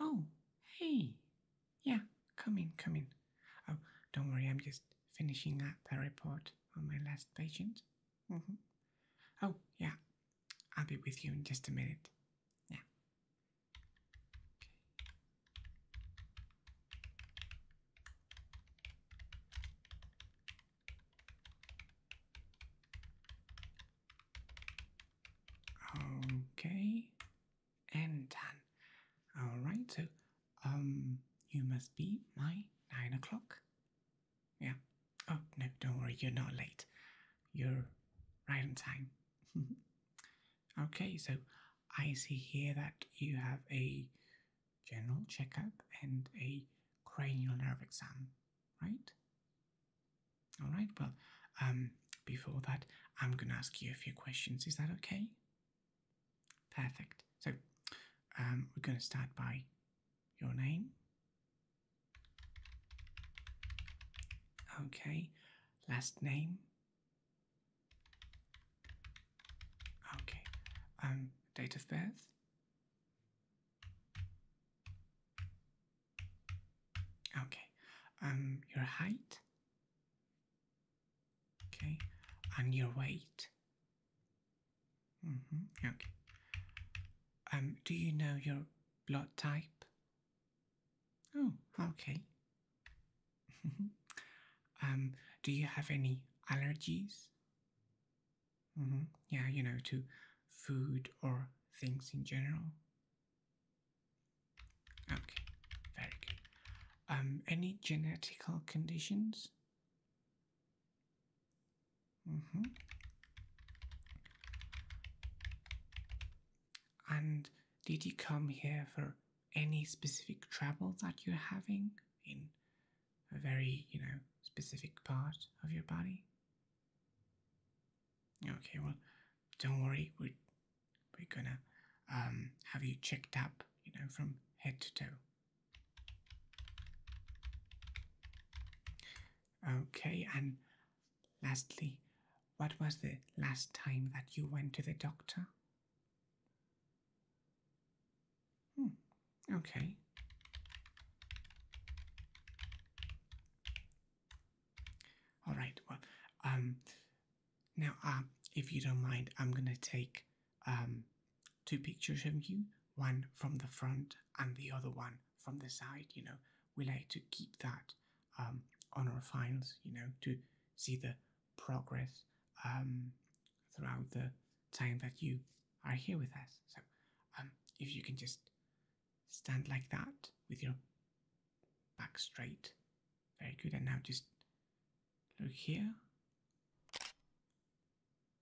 Oh, hey. Yeah, come in, come in. Oh, don't worry, I'm just finishing up a report on my last patient. Mm-hmm. Oh, yeah, I'll be with you in just a minute. Yeah. Okay. Okay, and done. All right, so um, you must be my nine o'clock yeah. Oh, no, don't worry, you're not late. You're right on time. okay, so I see here that you have a general checkup and a cranial nerve exam, right? All right, well, um, before that, I'm going to ask you a few questions. Is that okay? Perfect. So, um, we're going to start by your name. Okay, last name. Okay, um, date of birth. Okay, um, your height. Okay, and your weight hmm Okay. Um, do you know your blood type? Oh, okay. um, do you have any allergies? Mm-hmm. Yeah, you know, to food or things in general. Okay, very good. Um, any genetical conditions? Mm -hmm. And did you come here for any specific trouble that you're having in a very, you know, specific part of your body? Okay, well, don't worry, we're, we're gonna um, have you checked up, you know, from head to toe. Okay, and lastly, what was the last time that you went to the doctor? Hmm, okay. All right, well, um, now, uh, if you don't mind, I'm gonna take um, two pictures of you one from the front and the other one from the side. You know, we like to keep that um, on our files, you know, to see the progress um, throughout the time that you are here with us. So um, if you can just stand like that with your back straight. Very good. And now just look here.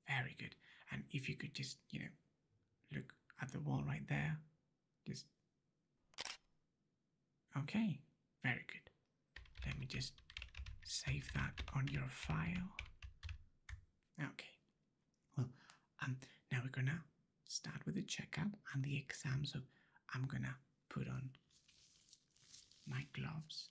Very good. And if you could just, you know, look at the wall right there. Just. Okay. Very good. Let me just save that on your file. Okay. Well, um, now we're gonna start with the checkup and the exams. So I'm gonna put on my gloves.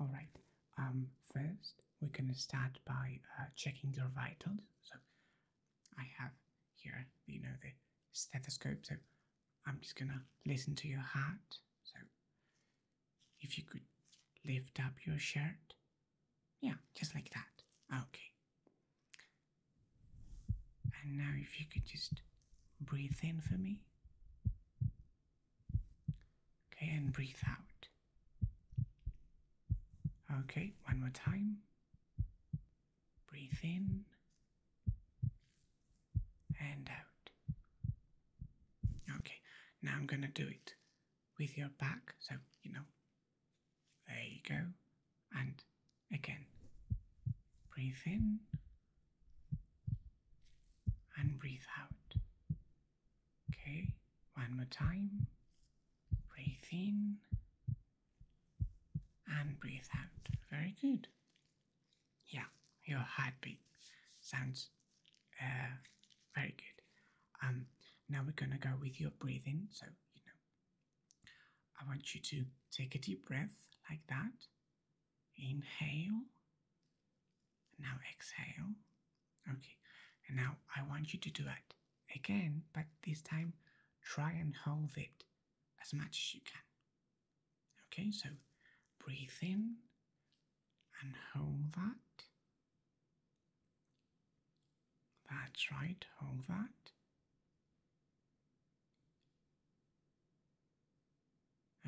All right. Um, first, we're gonna start by uh, checking your vitals. So, I have here, you know, the stethoscope. So, I'm just gonna listen to your heart. So, if you could lift up your shirt, yeah, just like that. Okay. And now, if you could just breathe in for me. Okay, and breathe out. Okay, one more time. Breathe in and out. Okay, now I'm going to do it with your back. So, you know, there you go. And again, breathe in and breathe out. Okay, one more time. Breathe in and breathe out. Very good. Yeah, your heartbeat sounds uh, very good. Um, now we're gonna go with your breathing. So you know, I want you to take a deep breath like that, Inhale. Now exhale. Okay. And now I want you to do it again, but this time try and hold it as much as you can. Okay, so breathe in and hold that. That's right, hold that.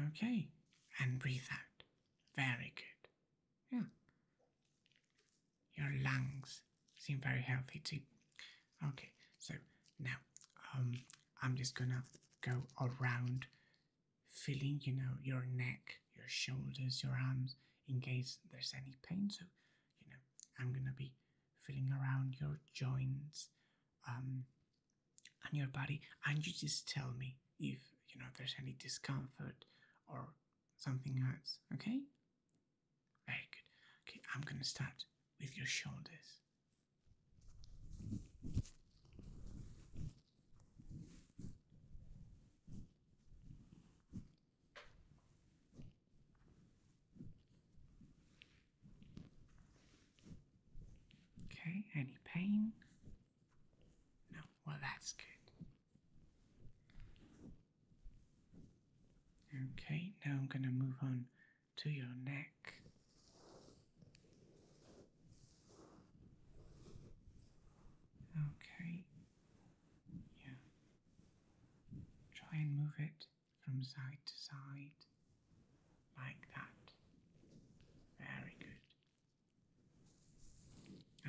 Okay, and breathe out. Very good. Yeah. Your lungs seem very healthy too. Okay, so now um, I'm just gonna go around feeling, you know, your neck, your shoulders, your arms, in case there's any pain. So, you know, I'm gonna be feeling around your joints, um, and your body, and you just tell me if you know there's any discomfort or something else. Okay? Very good. Okay, I'm gonna start with your shoulders. Okay, any pain? No, well, that's good. Okay, now I'm going to move on to your neck. Okay, yeah. Try and move it from side to side. Like that. Very good.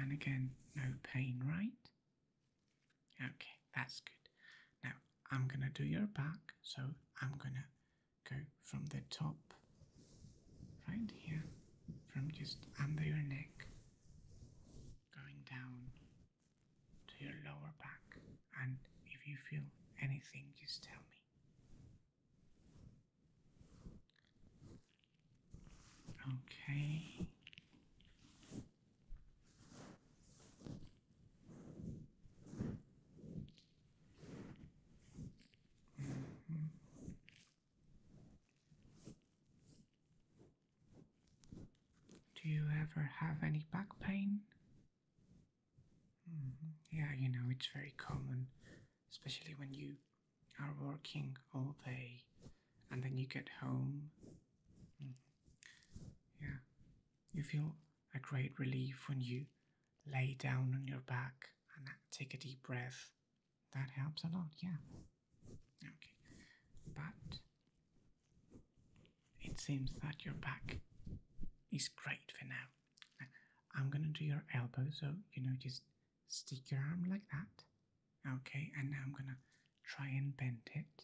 And again, no pain, right? Okay, that's good. Now I'm gonna do your back, so I'm gonna go from the top right here, from just under your neck, going down to your lower back. And if you feel anything, just tell me. Okay. -hmm. Do you ever have any back pain? -hmm. Yeah, you know, it's very common especially when you are working all day and then you get home. Mm. Yeah, you feel a great relief when you lay down on your back and take a deep breath. That helps a lot, yeah. Okay, but it seems that your back is great for now. I'm gonna do your elbow, so you know, just stick your arm like that. Okay, and now I'm gonna try and bend it.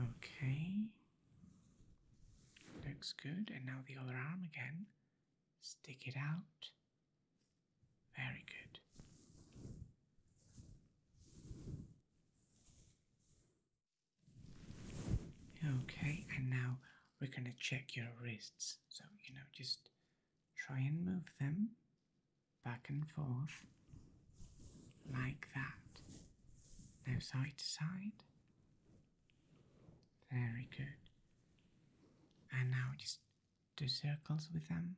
Okay, looks good. And now the other arm again, stick it out. Very good. Okay, and now we're going to check your wrists. So, you know, just try and move them back and forth like that. Now, side to side. Very good. And now just do circles with them.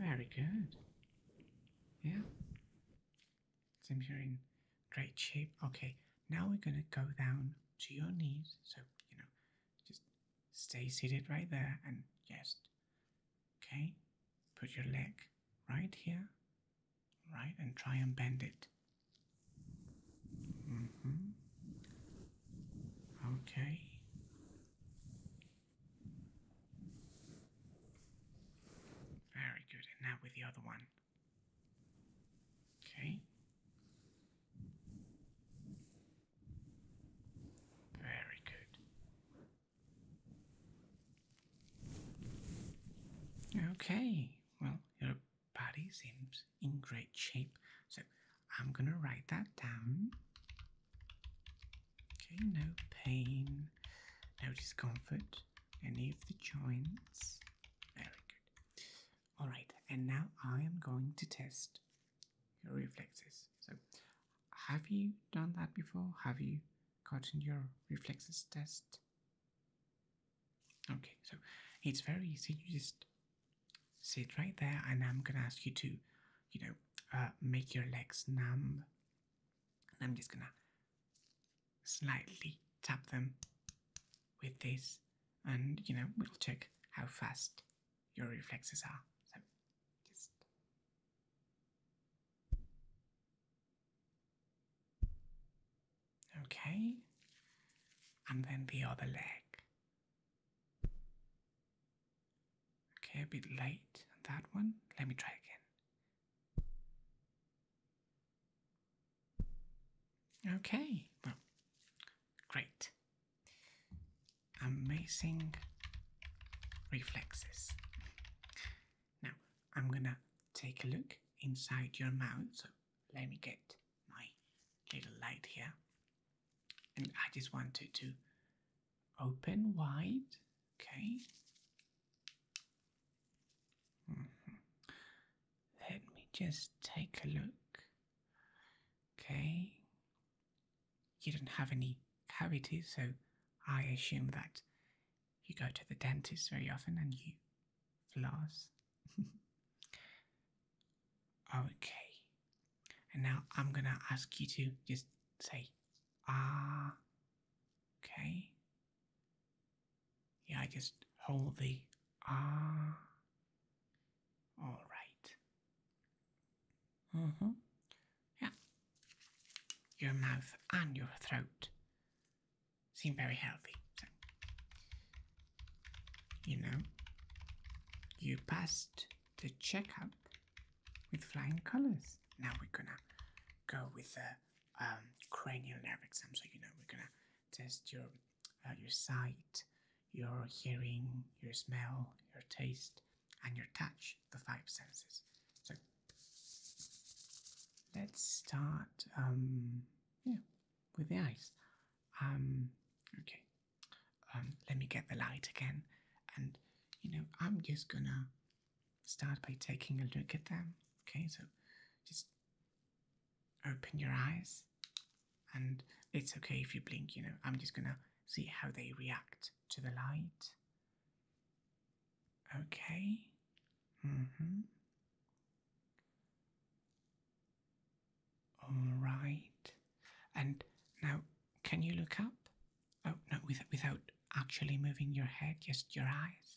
Very good. Yeah. Seems you're in great shape. Okay, now we're going to go down to your knees. So, you know, just stay seated right there and just, okay, put your leg right here, right, and try and bend it. Mm-hmm. Okay. Very good. And now with the other one. Okay. Very good. Okay, well, your body seems in great shape, so I'm gonna write that down. Okay, no pain, no discomfort, any of the joints. Very good. All right, and now I am going to test your reflexes. So, have you done that before? Have you gotten your reflexes test? Okay, so it's very easy. You just sit right there, and I'm gonna ask you to, you know, uh, make your legs numb. And I'm just gonna slightly tap them with this, and you know, we'll check how fast your reflexes are. So just okay, and then the other leg. Okay, a bit late on that one. Let me try again. Okay, well, great. Amazing reflexes. Now, I'm gonna take a look inside your mouth. So, let me get my little light here. And I just want it to open wide. Okay, Mm-hmm. Let me just take a look. Okay. You don't have any cavities, so I assume that you go to the dentist very often and you floss. okay. And now I'm gonna ask you to just say ah. Okay. Yeah, I just hold the ah. All right. Mm hmm. Yeah. Your mouth and your throat seem very healthy. you know, you passed the checkup with flying colors. Now we're gonna go with the um, cranial nerve exam. So, you know, we're gonna test your uh, your sight, your hearing, your smell, your taste, and your touch, the five senses. So let's start um, yeah, with the eyes. Um, okay, um, let me get the light again. And you know, I'm just gonna start by taking a look at them. Okay, so just open your eyes, and it's okay if you blink, you know. I'm just gonna see how they react to the light. Okay. Mm-hmm. All right. And now, can you look up? Oh no, without actually moving your head, just your eyes.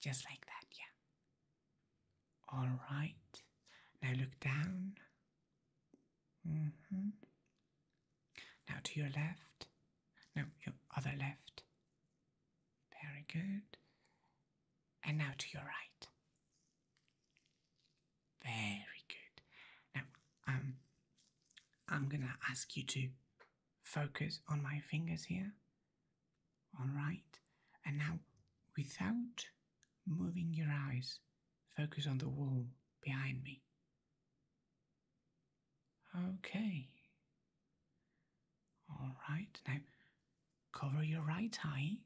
Just like that, yeah. All right. Now look down. Mm-hmm. Now to your left. Now your other left. Very good. And now to your right. Very good. Now, um, I'm gonna ask you to focus on my fingers here. All right. And now, without moving your eyes, focus on the wall behind me. Okay. All right. Now, cover your right eye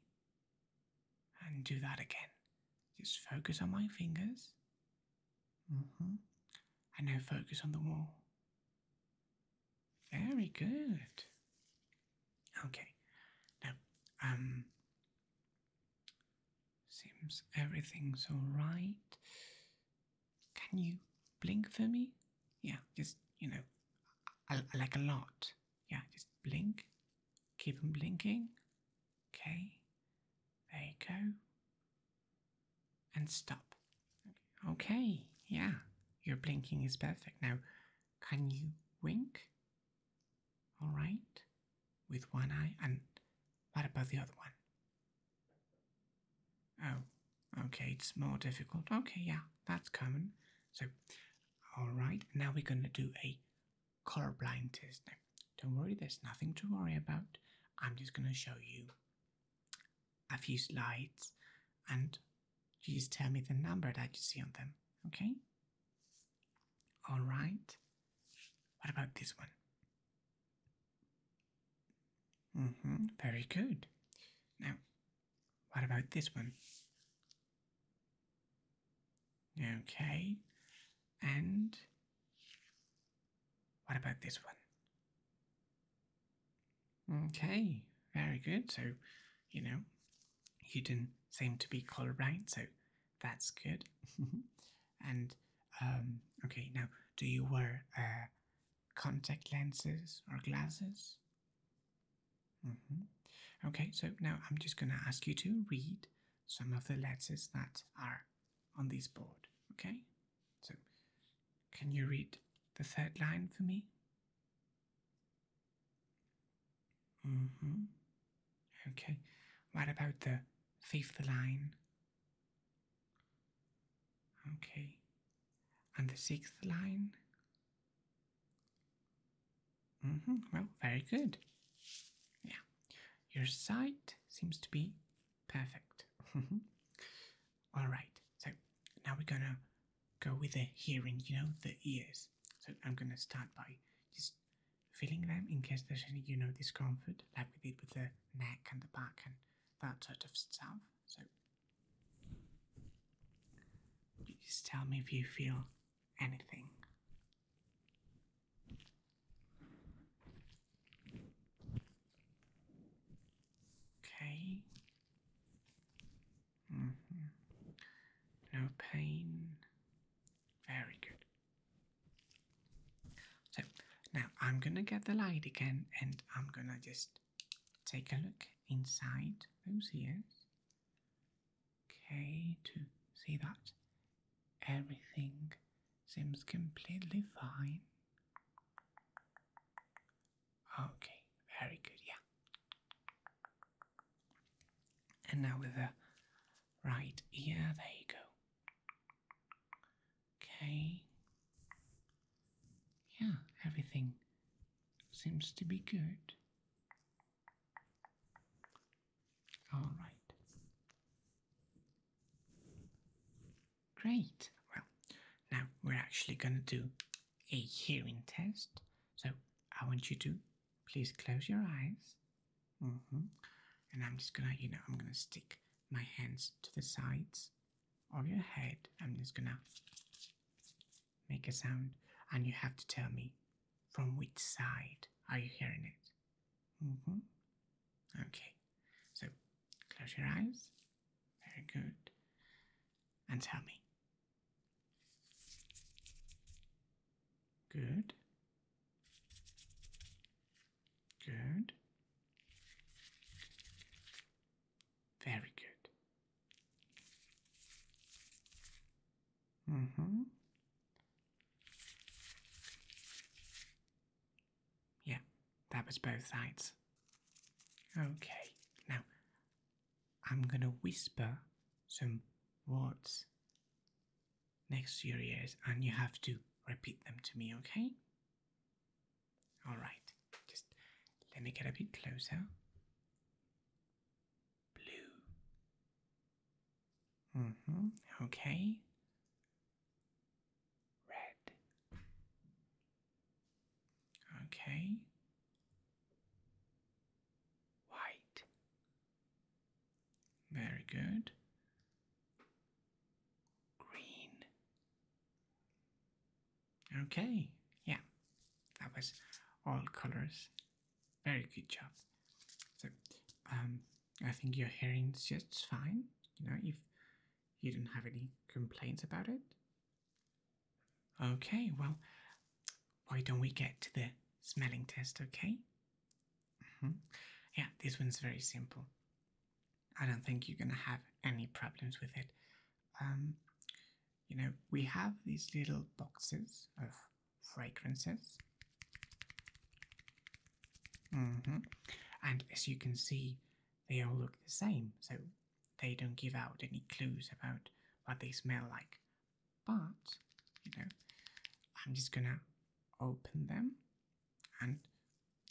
and do that again. Just focus on my fingers. Mm-hmm. And now focus on the wall. Very good. Okay. Now, um, seems everything's all right. Can you blink for me? Yeah, just, you know, I, like a lot. Yeah, just blink. Keep them blinking. Okay. There you go. And stop. Okay, yeah, your blinking is perfect. Now, can you wink? All right, with one eye, and what about the other one? Oh, okay, it's more difficult. Okay, yeah, that's common. So, all right, now we're gonna do a colorblind test. Now, don't worry, there's nothing to worry about. I'm just gonna show you a few slides and you just tell me the number that you see on them, okay? All right. What about this one? hmm, very good. Now, what about this one? Okay, and what about this one? Okay, very good. So, you know, you didn't seem to be colorblind, so that's good. and, um, okay, now, do you wear uh, contact lenses or glasses? Mm -hmm. Okay, so now I'm just going to ask you to read some of the letters that are on this board, okay? So, can you read the third line for me? Mm-hmm. Okay. What about the fifth line? Okay. And the sixth line? Mm-hmm. Well, very good. Yeah. Your sight seems to be perfect. All right, so now we're gonna go with the hearing, you know, the ears. So I'm gonna start by just feeling them in case there's any, you know, discomfort, like we did with the neck and the back and that sort of stuff. So just tell me if you feel anything. Okay. Mm-hmm. No pain. Very good. So now I'm gonna get the light again and I'm gonna just take a look inside those ears. Okay, to see that everything seems completely fine. Okay, very good, yeah. And now with the right ear, there you go. Okay. Yeah, everything seems to be good. All right. Great. Well, now we're actually going to do a hearing test. So I want you to please close your eyes. Mm-hmm. And I'm just gonna, you know, I'm gonna stick my hands to the sides of your head. I'm just gonna make a sound, and you have to tell me from which side are you hearing it. Mm-hmm. Okay, so close your eyes. Very good. And tell me, Good. Good. Very good. Mm-hmm. Yeah, that was both sides. Okay, now I'm gonna whisper some words next to your ears and you have to repeat them to me, okay? Alright, just let me get a bit closer. Blue. hmm, okay. Red. Okay. White. Very good. Green. Okay, yeah, that was all colors. Very good job. So, um, I think your hearing is just fine. You know, if you don't have any complaints about it, Okay, well, why don't we get to the smelling test, okay? Mm-hmm. Yeah, this one's very simple. I don't think you're gonna have any problems with it. Um, you know, we have these little boxes of fragrances. Mm-hmm. And as you can see, they all look the same. So they don't give out any clues about what they smell like. But, you know, I'm just gonna open them and,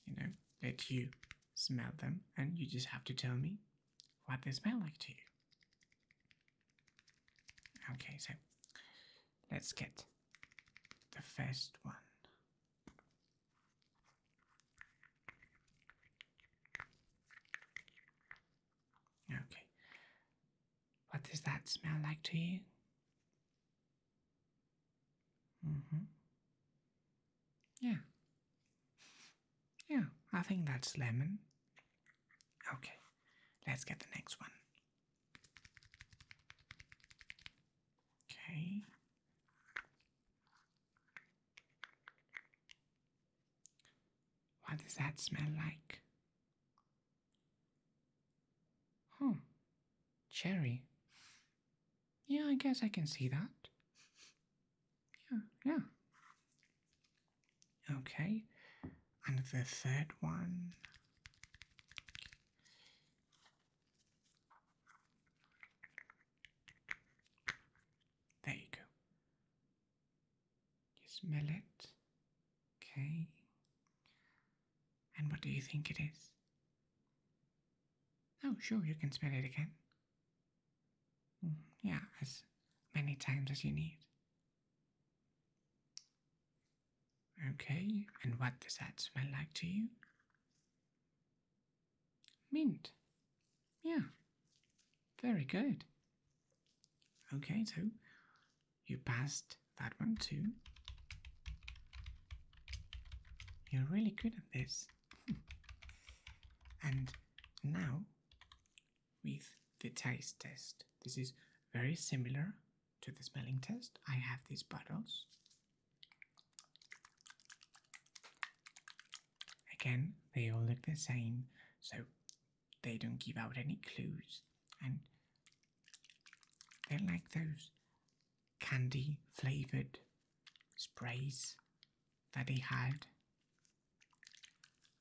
you know, let you smell them, and you just have to tell me what they smell like to you. Okay, so let's get the first one. Okay. What does that smell like to you? Mm-hmm. Yeah. Yeah, I think that's lemon. Okay, let's get the next one. Okay. What does that smell like? Hmm, Cherry. Yeah, I guess I can see that. Yeah, yeah. Okay. And the third one. There you go. You smell it? Okay. And what do you think it is? Oh, sure, you can smell it again. Mm, yeah, as many times as you need. Okay, and what does that smell like to you? Mint. Yeah, very good. Okay, so you passed that one too. You're really good at this. and now, with the taste test, this is very similar to the smelling test. I have these bottles. Again, they all look the same, so they don't give out any clues and they're like those candy flavored sprays that they had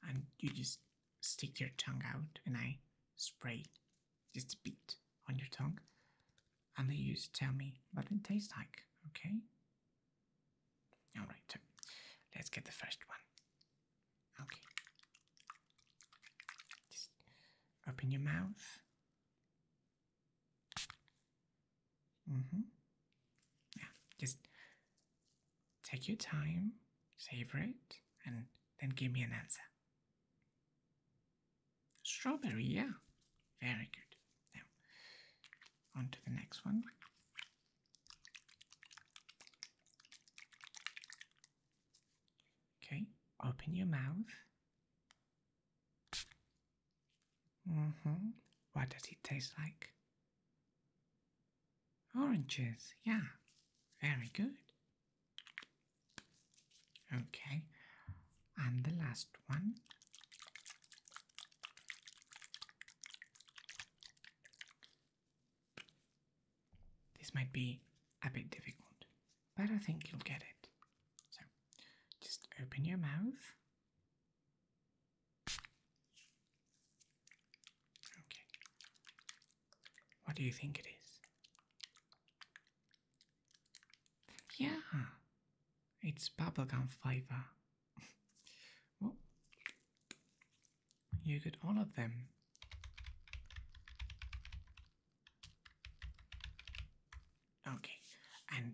and you just stick your tongue out and I spray just a bit on your tongue and they used to tell me what it tastes like okay all right, let's get the first one. Okay. Just open your mouth. Mm-hmm. Yeah, just take your time, savor it, and then give me an answer. Strawberry, yeah. Very good. Now, on to the next one. Okay, open your mouth. Mm hmm. What does it taste like? Oranges, yeah. Very good. Okay, and the last one. This might be a bit difficult, but I think you'll get it. So just open your mouth. Okay. What do you think it is? Yeah, it's bubblegum fiber well, you all of them. Okay, and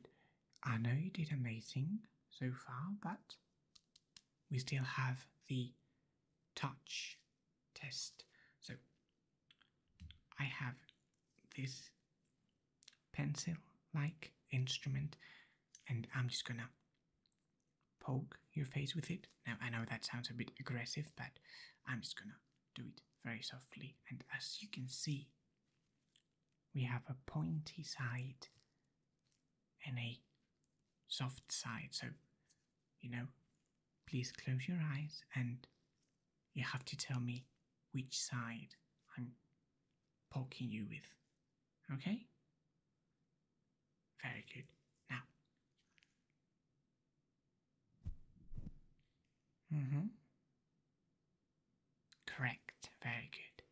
I know you did amazing so far, but we still have the touch test. So I have this pencil like instrument, and I'm just gonna poke your face with it. Now, I know that sounds a bit aggressive, but I'm just gonna do it very softly. And as you can see, we have a pointy side and a soft side. So, you know, please close your eyes and you have to tell me which side I'm poking you with. Okay? Very good. Now, mm hmm. Correct. Very good.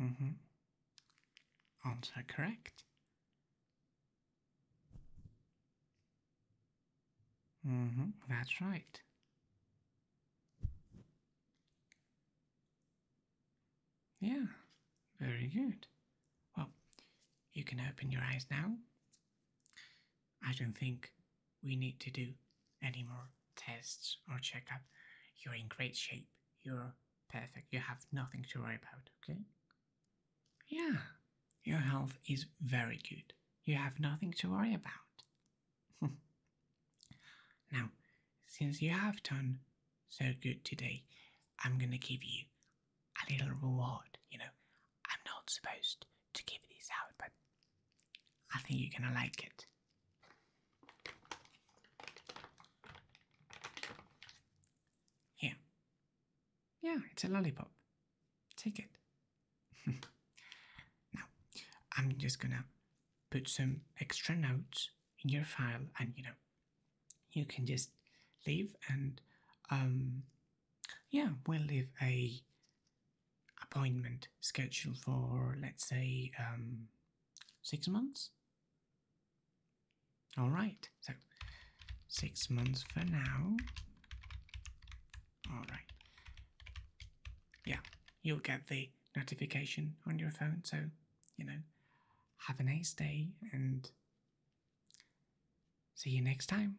Mm hmm. Answer correct. Mm hmm. That's right. Yeah, very good. Well, you can open your eyes now. I don't think we need to do any more tests or checkup. You're in great shape. You're perfect. You have nothing to worry about, okay? Yeah, your health is very good. You have nothing to worry about. now, since you have done so good today, I'm gonna give you a little reward. You know, I'm not supposed to give this out, but I think you're gonna like it. Here. Yeah, it's a lollipop. Take it now, I'm just gonna put some extra notes in your file, and you know, you can just leave, and um, yeah, we'll leave a appointment schedule for let's say um, six months. All right, so six months for now. All right, yeah, you'll get the notification on your phone. So, you know, have a nice day and see you next time.